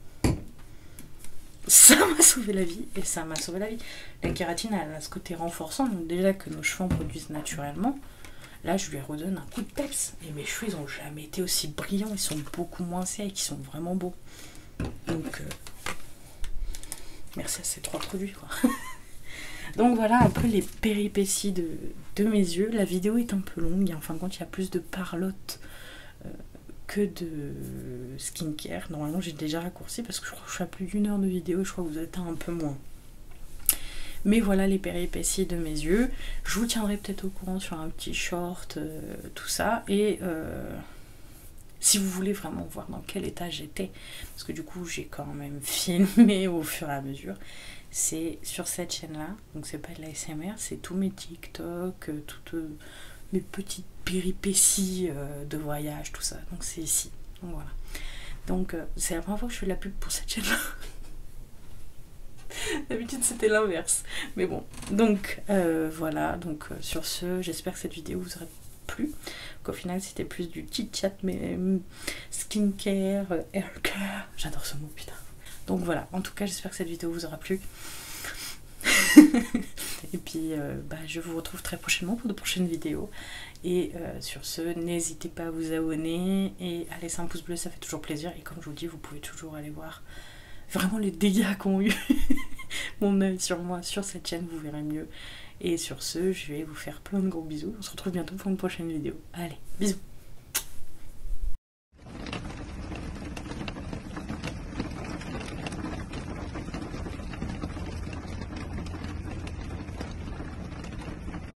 Ça m'a sauvé la vie et ça m'a sauvé la vie. La kératine, a ce côté renforçant, donc déjà que nos cheveux produisent naturellement. Là, je lui redonne un coup de peps. Et mes cheveux, ils n'ont jamais été aussi brillants. Ils sont beaucoup moins secs. Ils sont vraiment beaux. Donc, euh, merci à ces trois produits. Donc voilà un peu les péripéties de, mes yeux. La vidéo est un peu longue. En fin de il y a plus de parlotte euh, que de skincare. Normalement, j'ai déjà raccourci parce que je crois que je suis plus d'une heure de vidéo. Je crois que vous êtes un peu moins. Mais voilà les péripéties de mes yeux. Je vous tiendrai peut-être au courant sur un petit short, euh, tout ça. Et euh, si vous voulez vraiment voir dans quel état j'étais, parce que du coup j'ai quand même filmé au fur et à mesure, c'est sur cette chaîne-là. Donc c'est pas de l'ASMR, c'est tous mes TikTok, euh, toutes mes petites péripéties de voyage, tout ça. Donc c'est ici. Donc voilà. Donc c'est la première fois que je fais de la pub pour cette chaîne-là. D'habitude c'était l'inverse. Mais bon, donc euh, voilà, donc euh, sur ce, j'espère que cette vidéo vous aura plu. Qu'au final c'était plus du chit-chat, mais hum, skincare, euh, care. J'adore ce mot, putain. Donc voilà, en tout cas j'espère que cette vidéo vous aura plu. Et puis bah, je vous retrouve très prochainement pour de prochaines vidéos. Et sur ce, n'hésitez pas à vous abonner et à laisser un pouce bleu, ça fait toujours plaisir. Et comme je vous dis, vous pouvez toujours aller voir vraiment les dégâts qu'ont eu mon œil sur moi sur cette chaîne, vous verrez mieux. Et sur ce, je vais vous faire plein de gros bisous. On se retrouve bientôt pour une prochaine vidéo. Allez, bisous